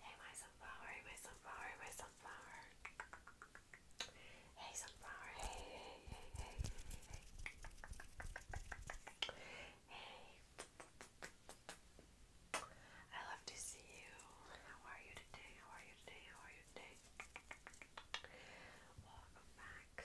Hey, my sunflower, hey, my sunflower, my sunflower. Hey, sunflower, hey, hey, hey, hey. Hey. I love to see you. How are you today? How are you today? How are you today? Welcome back.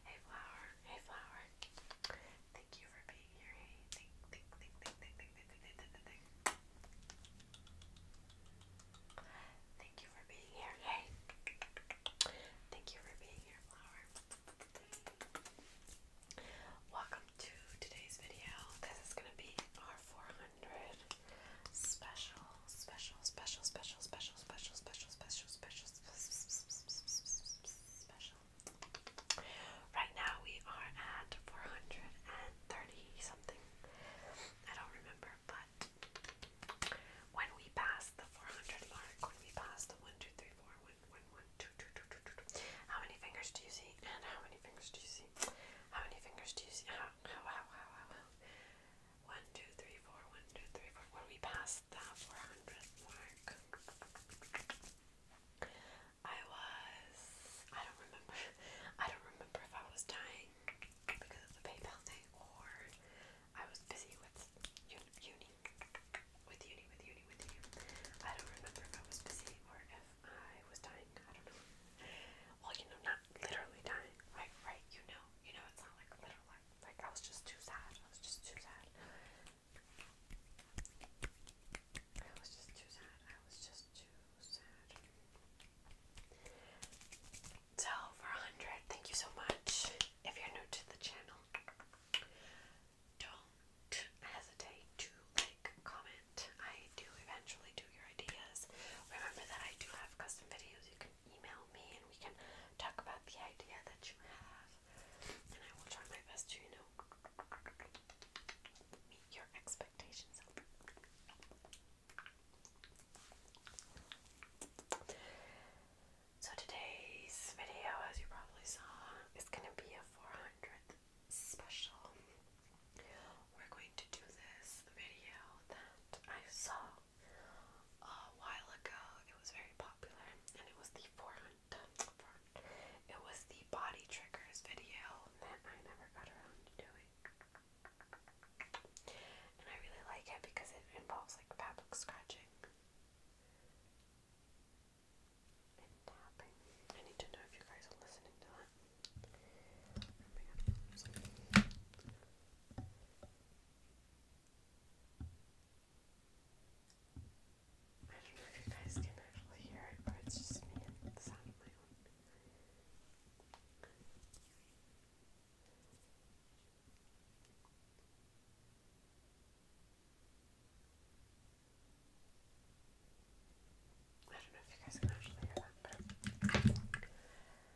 Hey flower, hey flower. Thank you for being here. Hey, think, think, think, think, think, think, think, think, think, Thank you for being here. Hey. Thank you for being here, flower. Welcome to today's video. This is gonna be our 400 special special, special, special, special, special, special, special, special, special. Right now we are at 430 something. I don't remember, but when we pass the 400 mark, when we pass the 1, how many fingers do you see? And how many fingers do you see? How many fingers do you see? how, how, how, how, how? One, two, three, four, one, two, three, four. When we passed that 400 mark, I was. I don't remember. I don't remember if I was dying because of the PayPal thing or I was busy with uni with uni, with uni, with uni. I don't remember if I was busy or if I was dying. I don't know. Well, you know, not literally dying, right? Right? You know, you know, it's not like literal Like I was just too sad. I was just too sad. I was just too sad. I was just too sad. So thank you so much. If you're new to the channel, don't hesitate to like, comment. I do eventually do your ideas. Remember that I do have custom videos you can email me and we can talk about the idea that you have. And I will try my best to, you know, meet your expectations. So today's video, as you probably saw, is going to be a 400th special. We're going to do this video that I saw a while ago. It was very popular, and it was the 400. It was the body triggers video that I never got around to doing. And I really like it because it involves like fabric scratching and tapping. I need to know if you guys are listening to that. Oh my god. I don't know if you guys can actually hear it, but it's just me and the sound of my own. I don't know if you guys can actually hear that, but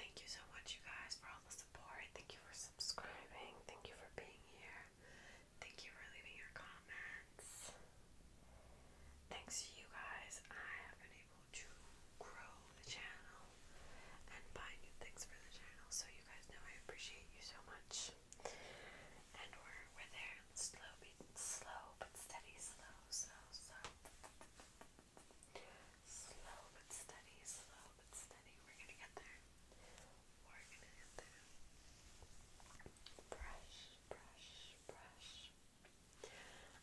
Thank you so much, you guys, for all the support. Thank you for subscribing. Thank you for being here. Thank you for leaving your comments. Thanks to you guys, I have been able to grow the channel and buy new things for the channel. So you guys know I appreciate you so much. And we're we're there slow, slow but steady, slow, slow, slow. Slow but steady, slow but steady. We're gonna get there. We're gonna get there. Brush, brush, brush.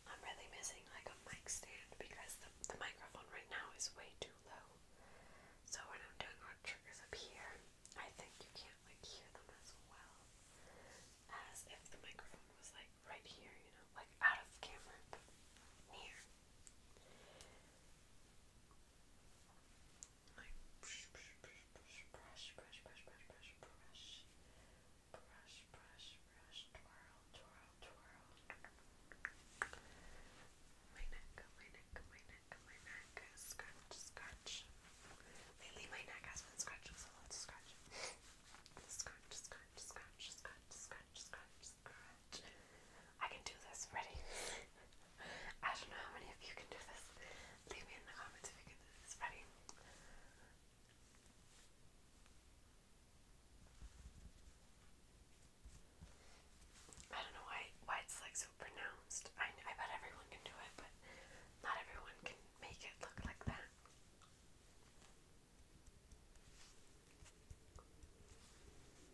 I'm really missing like a mic stand because the, the microphone right now is way too low. So when I'm doing our triggers up here, I think you can't like hear them as well as if the microphone was like right here, you know, like out of camera, near. Like brush, brush, brush, brush, brush, brush, brush, brush, brush, brush, brush, brush, brush, twirl, twirl, twirl. My neck, my neck, my neck, my neck. Scratch, scratch. Lately, my neck has been scratching, so let's scratch. Scratch, scratch, scratch, scratch, scratch, scratch, scratch. I can do this, ready? I don't know how many of you can do this. Leave me in the comments if you can do this, ready? I don't know why why it's like so pronounced. I I bet everyone can do it, but not everyone can make it look like that.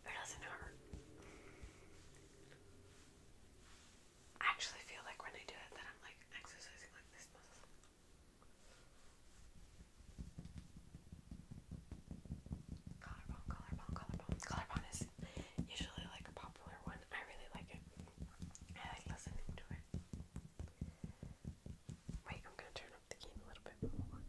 It doesn't hurt. I actually feel like when I do it that I'm like exercising like this muscle. Collarbone, collarbone, collarbone. Collarbone is usually like a popular one. I really like it. I like listening to it. Wait, I'm gonna turn up the game a little bit more.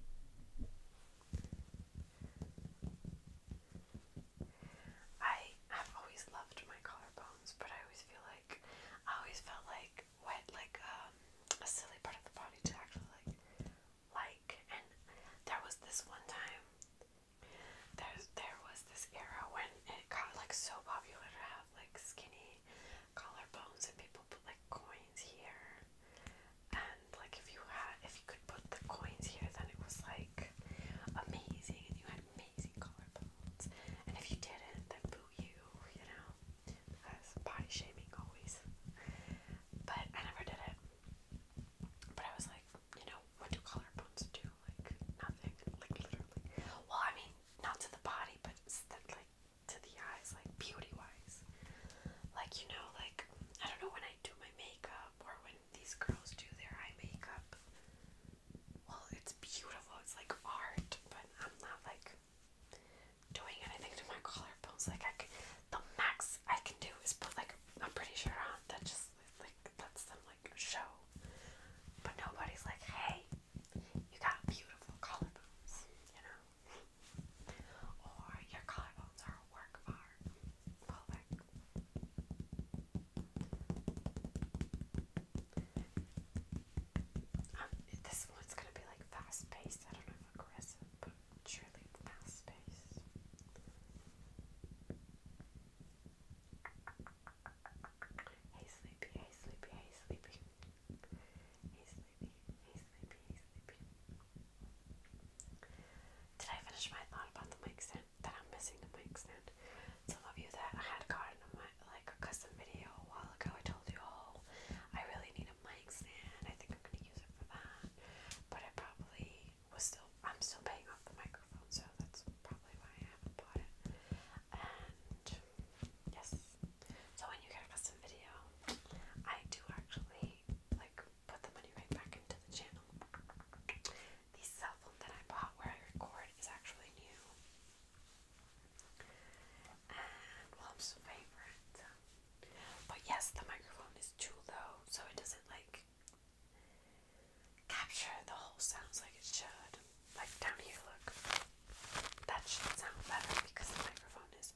I have always loved my collarbones, but I always feel like I always felt like what like um, a silly part of the body to actually like like and there was this one time there there was this era when it got like so popular to have like skinny collarbones and people put like coins here. And like if you had if you could put the coins here then it was like amazing and you had amazing collarbones. And if you didn't then boo you, you know. Because body shaming always. But I never did it. But I was like, you know, what do collarbones do? Like nothing. Like literally. Well I mean not to the body, but like to the eyes, like beauty wise. Like, you know, like, I don't know when I do my makeup or when these girls do their eye makeup. Well, it's beautiful, it's like art, but I'm not like doing anything to my collarbones. Like, I can, the max I can do is put like I'm pretty sure on that just like that's some like show but nobody's like, hey, you got beautiful collarbones, you know? or your collarbones are work of art. Well, like, um, this one's gonna be like fast paced. I don't know if aggressive, but surely fast paced. Hey sleepy, hey sleepy, hey sleepy. Hey sleepy, hey sleepy, hey sleepy. Did I finish my thought about the mic stand? That I'm missing the mic stand. Some of you that had gotten like a custom video a while ago, I told you, oh, I really need a mic stand. I think I'm gonna use it for that. But I probably was still, I'm still paying off the microphone, so that's probably why I haven't bought it. And Yes. So when you get a custom video, I do actually like put the money right back into the channel. The cell phone that I bought where I record is actually new. And Willem's favorite. But yes, the microphone is too low, so it doesn't like capture the whole sounds like it should. Like down here, look. That should sound better because the microphone is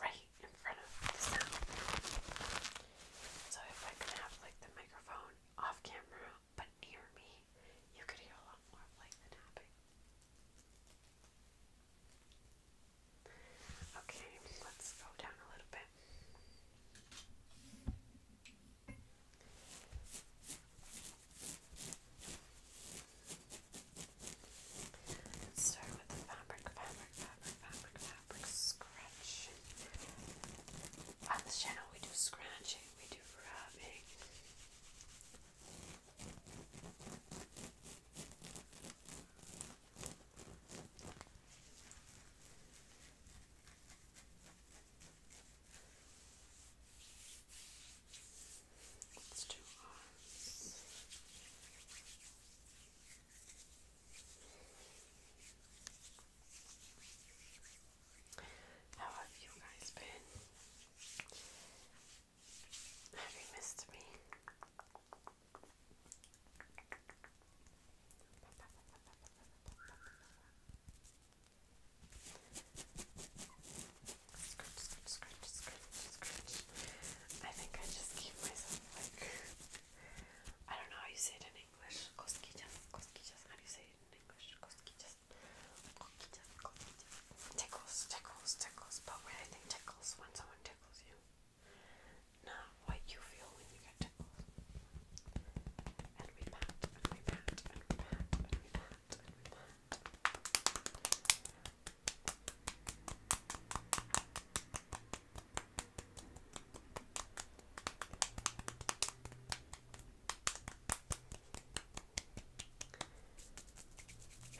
right in front of the sound. So if I could have like the microphone off camera but near me, you could hear a lot more of like the tapping. Okay, let's go down a little bit let start with the fabric, fabric, fabric, fabric, fabric scratch. On this channel, we do scratching, we do rubbing. Let's do How have you guys been? Have you missed me? Scratch, I think I just keep myself like I don't know how you say it in English. Cosquillas, cosquillas. How do you say it in English? Cosquillas, cosquillas, Tickles, tickles, tickles. But when I think tickles, when someone tickles you, not what you feel when you get tickled. And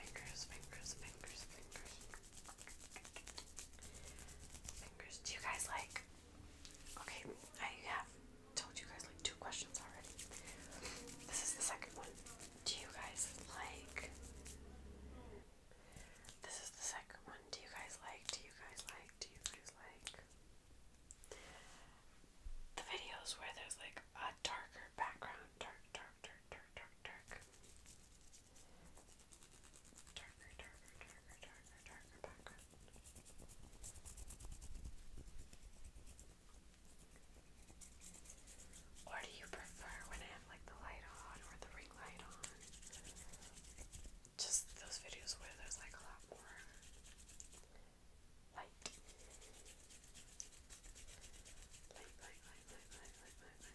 Fingers, fingers, fingers, fingers. Fingers. Do you guys like Okay, I have told you guys like two questions already. This is the second one. Do you guys like. This is the second one. Do you guys like? Do you guys like? Do you guys like? The videos where there's like a darker background. Dark, dark, dark, dark, dark, dark. Darker, darker, darker, darker, darker background. Or do you prefer when I have like the light on or the ring light on? Just those videos where there's like a lot more light. Light, light, light, light, light, light, light,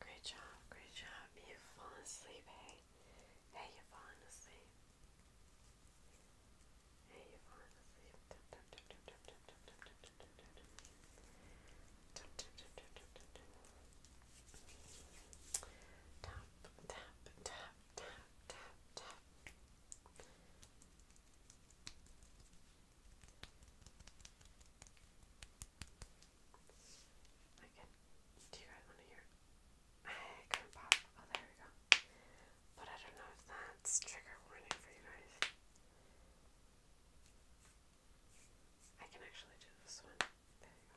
Great job, great job. You've fallen asleep, hey? Hey, you've asleep. Hey, you've asleep. Tap, tap, tap, tap, Do you guys want to hear? I kind of pop. Oh, there we go. But I don't know if that's trigger warning for you guys. I can actually do this one. There you go.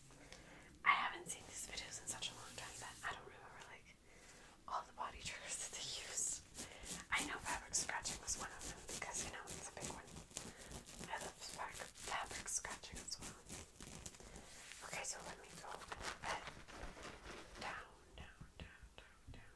I haven't seen these videos in such a long time that I don't remember like all the body triggers that they use. I know fabric scratching was one of them because you know it's a big one. I love fabric, fabric scratching as well. Okay, so let me go a little bit down, down, down, down,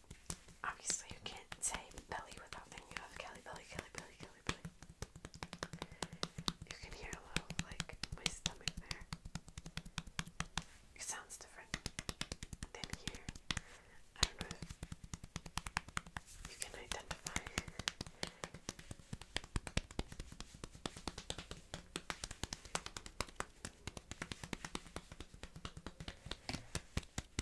Obviously, you can't say belly without thinking of Kelly Belly, Kelly Belly, Kelly Belly. You can hear a little like my stomach there. It sounds different than here. I don't know if you can identify.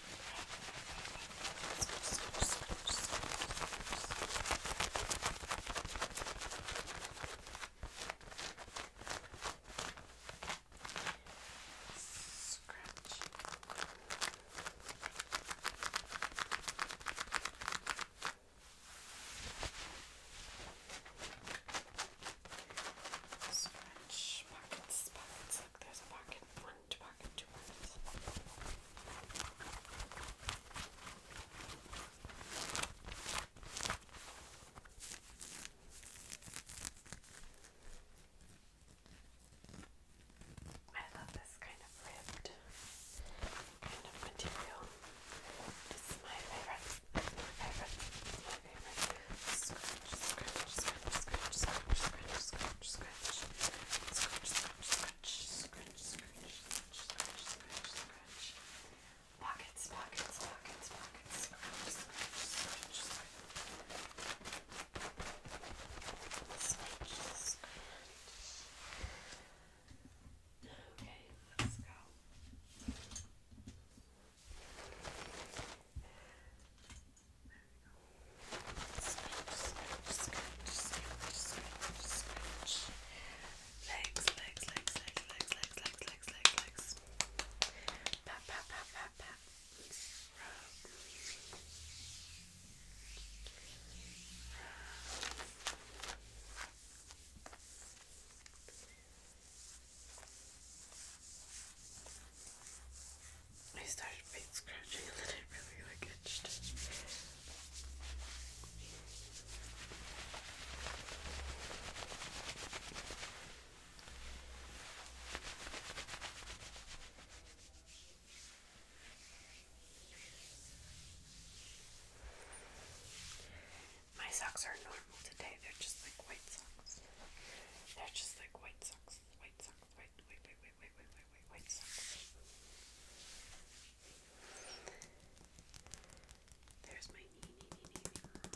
Scratch. Scratch pockets, pockets. Look, there's a pocket. One to park in two minutes. I love this kind of ribbed kind of material. This is my favorite. My favorite. My favorite. Scratch, scratch, scratch, scratch, scratch, scratch, scratch, scratch, scratch, scratch, scratch, scratch, scratch, scratch, scratch, scratch, scratch. Pockets, pockets, pockets, pockets, scratch, scratch, scratch, scratch. Scratch, scratch. Okay, let's go legs, legs, legs, legs, legs, legs, legs, legs, legs, legs. Pat, pat, pat, pat, pat. Rub. Rub. I started paint scratching and it really like itched. My socks are normal today, they're just like white socks. They're just like white socks, white socks, white, white, white, white wait, wait, wait, wait, wait, wait. So. There's my knee, knee, knee, knee.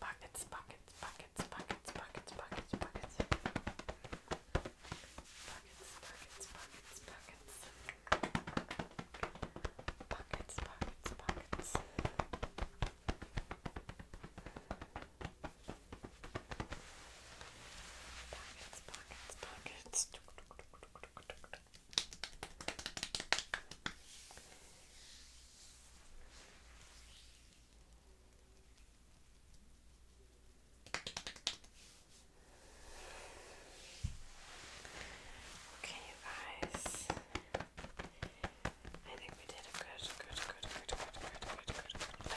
Buckets, buckets, buckets, buckets, buckets, buckets, buckets. Buckets, buckets, buckets, buckets. Buckets, buckets, buckets. Pockets, Okay, you guys. I think we did a good, good, good, good, good, good, good, good.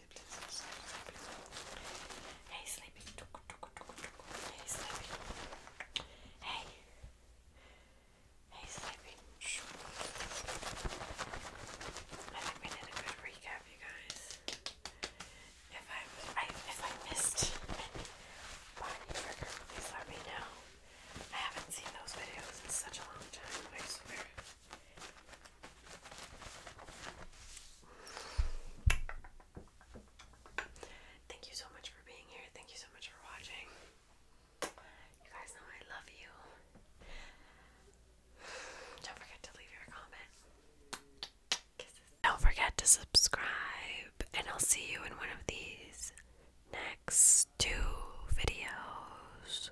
Hey, sleepy. Hey, sleepy. Hey. Hey, sleepy. I think we did a good recap, you guys. If I, if I missed any let me know. I haven't seen those videos in such a long time, Thank you so much for being here. Thank you so much for watching. You guys know I love you. Don't forget to leave your comment. Don't forget to subscribe, and I'll see you in one of these next two videos.